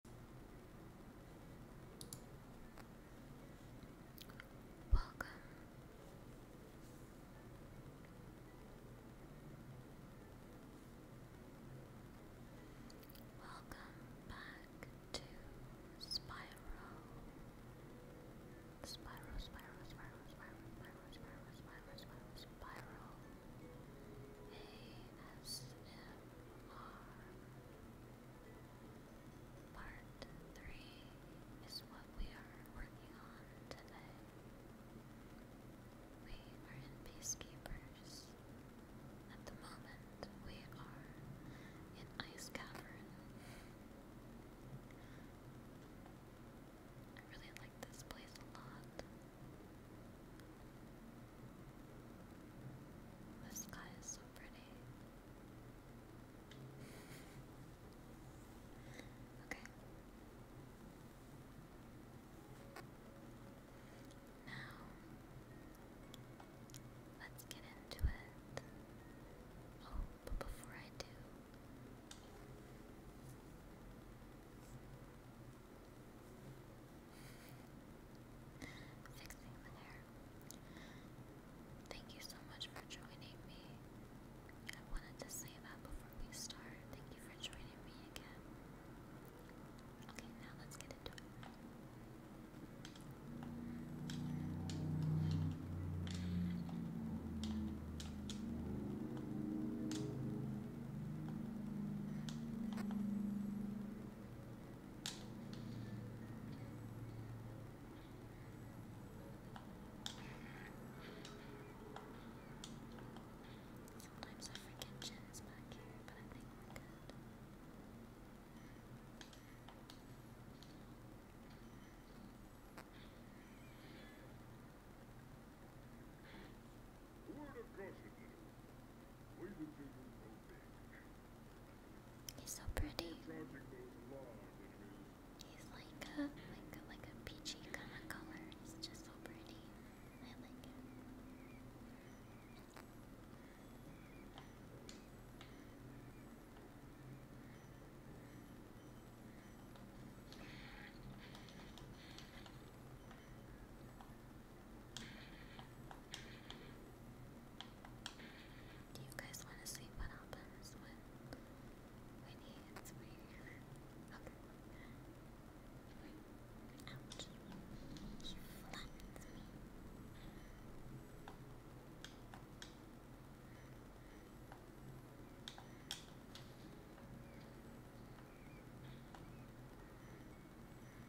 Welcome. Welcome back to Spyro. Spyro, Spyro, Spyro, Spyro, Spyro, Spyro, Spyro, Spyro, Spyro. ASMR Part 3 is what we are working on today. We are in Peacekeepers. At the moment, we are in Ice Cavern. I really like this place a lot. This guy is so pretty. Okay. Now, let's get into it. Oh, but before I do, Thank you so much for joining me. I wanted to say that before we start. Thank you for joining me again. Okay, now let's get into it. Sometimes I forget Jen is back here, but I think we're good. Word of caution, little. Way to do your own thing. He's so pretty. He's like a like like a peachy kind of color. He's just so pretty. I like it. Do you guys want to see what happens when when he hits Okay. Ouch. He flattens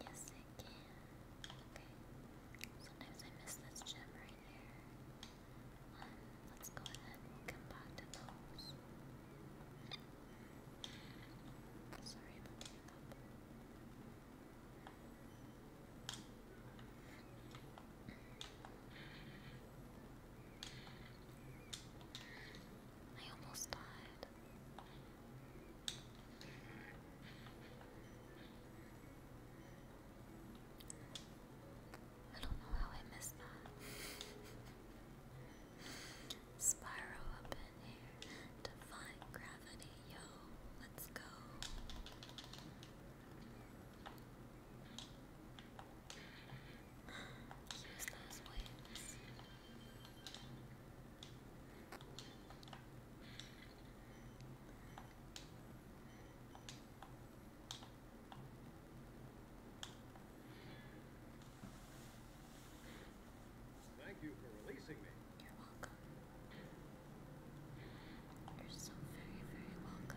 Yes, I can. Okay. Sometimes I miss this gem right here. Um, let's go ahead we'll come back to those. Sorry about getting I almost died. I don't know how I missed that. Spyro up in here. Define gravity, yo. Let's go. Use those wings. Thank you for releasing me. You're welcome. You're so very, very welcome.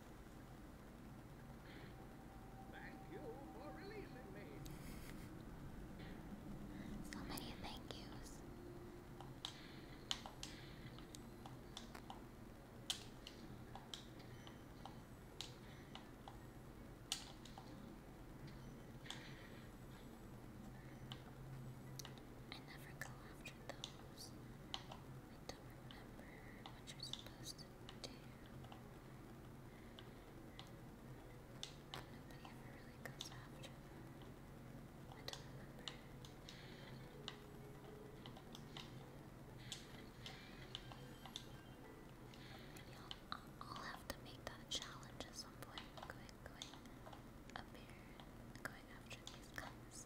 So many thank yous. I never go after those. I don't remember what you're supposed to Nobody ever I will have to make that challenge at some point. Going, going up here, going after these guys.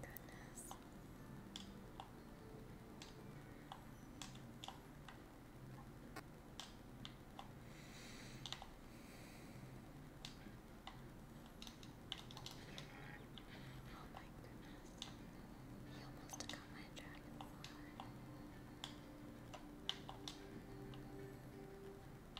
Goodness. Oh He almost took my dragonfly.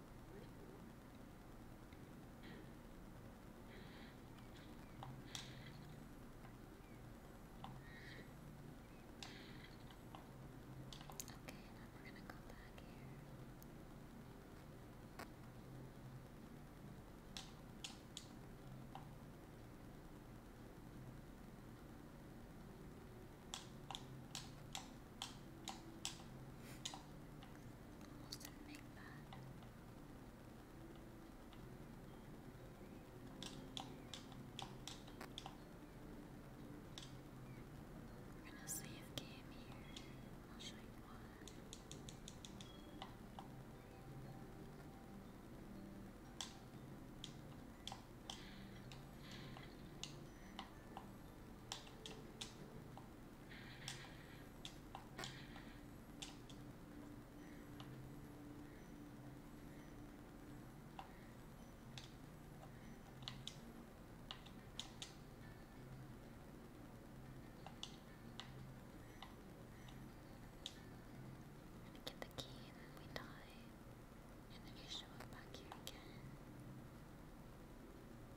now we're going to go back here. Okay, Almost didn't make that. We're gonna save game here. I'll show you why. We get the key and we die. And then you show up back here again.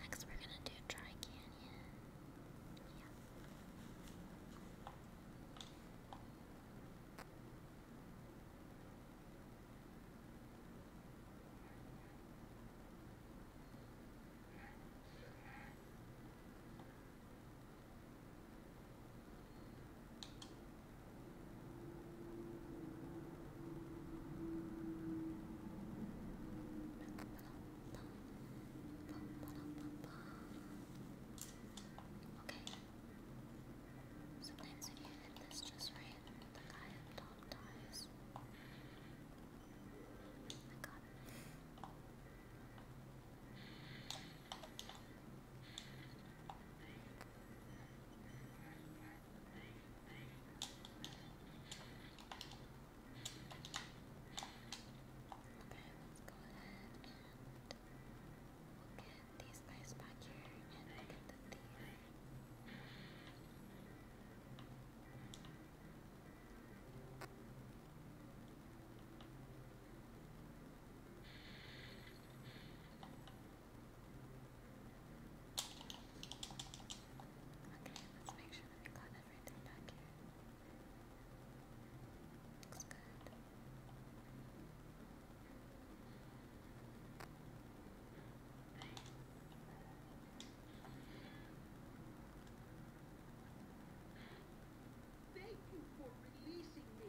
Next, we're gonna do Dry Canyon. Yeah. Okay. Sometimes if you hit this just right, the guy up top dies. I got it and these guys back here and look at the thief. Okay, Okay, let's make sure that got everything back here. good. Thank you for releasing me.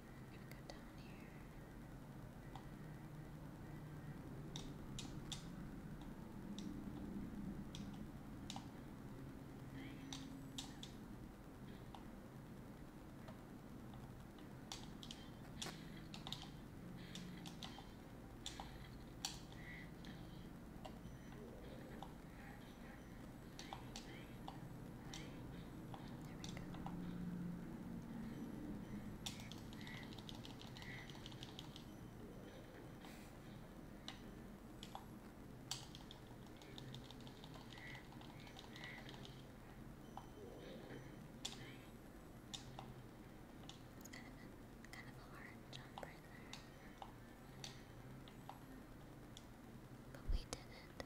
We're gonna go down here. There we go. It's kind of a, kind of a hard jump right there. But we did it.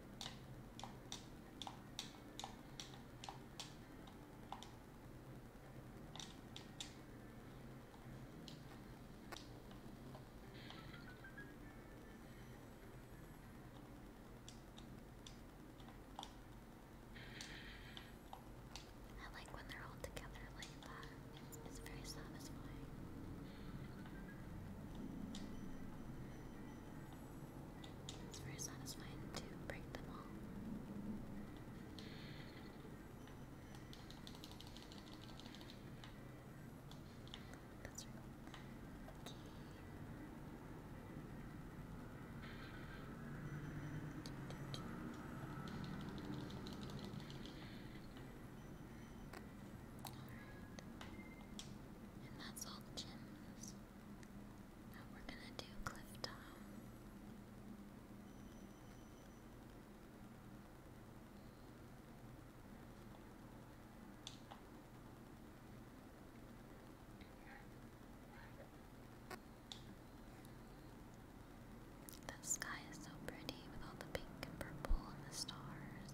I like when they're all together like that. It's, it's very satisfying. It's very satisfying to break them all. That's right. Okay. And that's all gyms. Now we're gonna do cliff top. The sky is so pretty with all the pink and purple and the stars.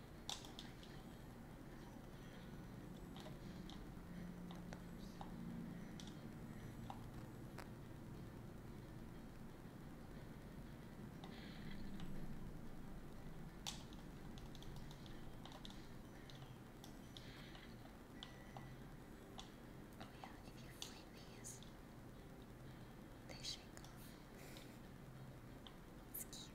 Oh yeah, if you flame these, they shake off. It's cute.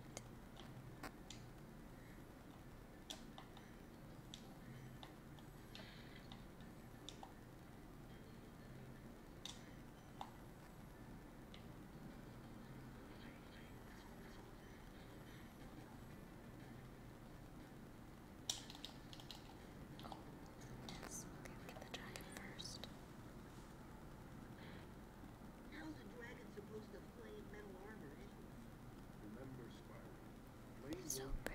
Oh, let's get the dragon first. Okay. How's a dragon supposed to play metal armor anyway? Eh? Remember, Spyro, so pretty. so pretty.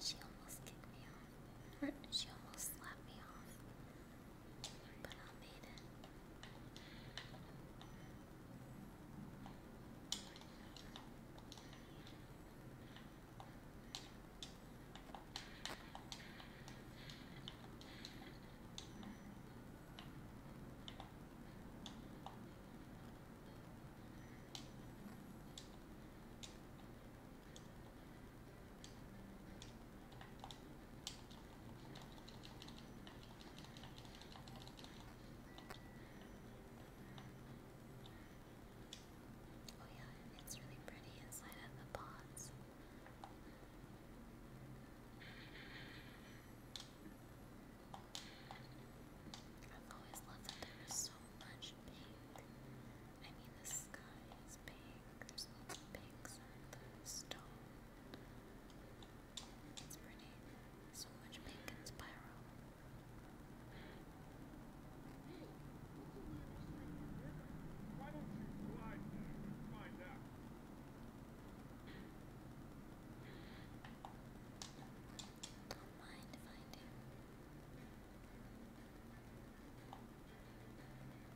She almost kicked me off. she almost slapped me off. But I made it. Oh yeah, it's really pretty inside of the pots. I've always loved that so much pink. I mean, the sky is pink, there's lots the stone. It's pretty. So much pink and spiral. Why don't you slide and find out? Don't mind if I do. There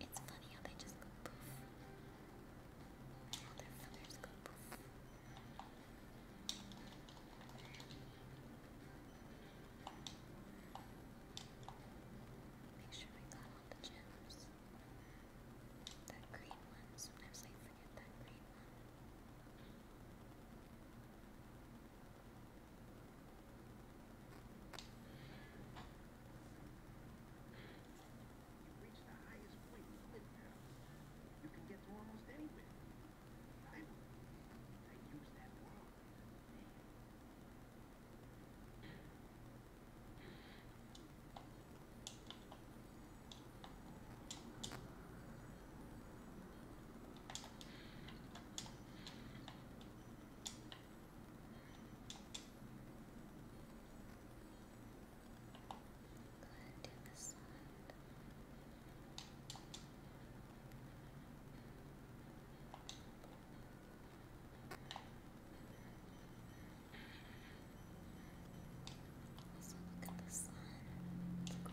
it's funny how they just go poof. All their feathers go poof. Make sure I got all the gems. That green one, sometimes I forget that green one. You reach the highest point You can get to almost anywhere. I, use that world. Go ahead and do this side. Also, look at the sun. It's cool.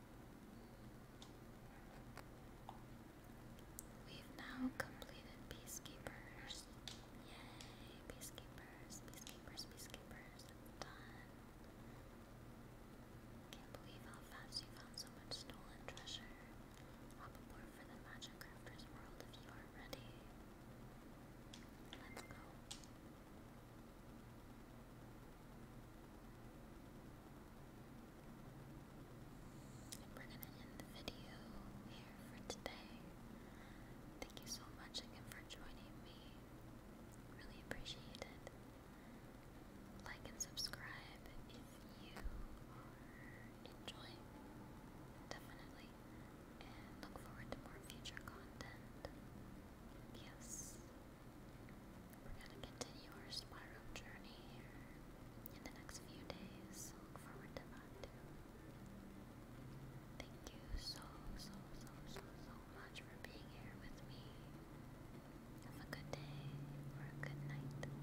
We've now completed Peacekeepers. Yay! Peacekeepers, Peacekeepers, Peacekeepers. Done. Can't believe how fast you found so much stolen treasure. Hop aboard for the Magic Crafters world if you are ready. Let's go we're going to end the video here for today. Thank you so much again for joining me. Really appreciate Like and subscribe if you are enjoying. Definitely. look forward to more future content. Yes. We're going to continue our spiral journey in the next few days. look forward to that Thank you so, so, so, so, so much for being here with me. Have a good day or a good night.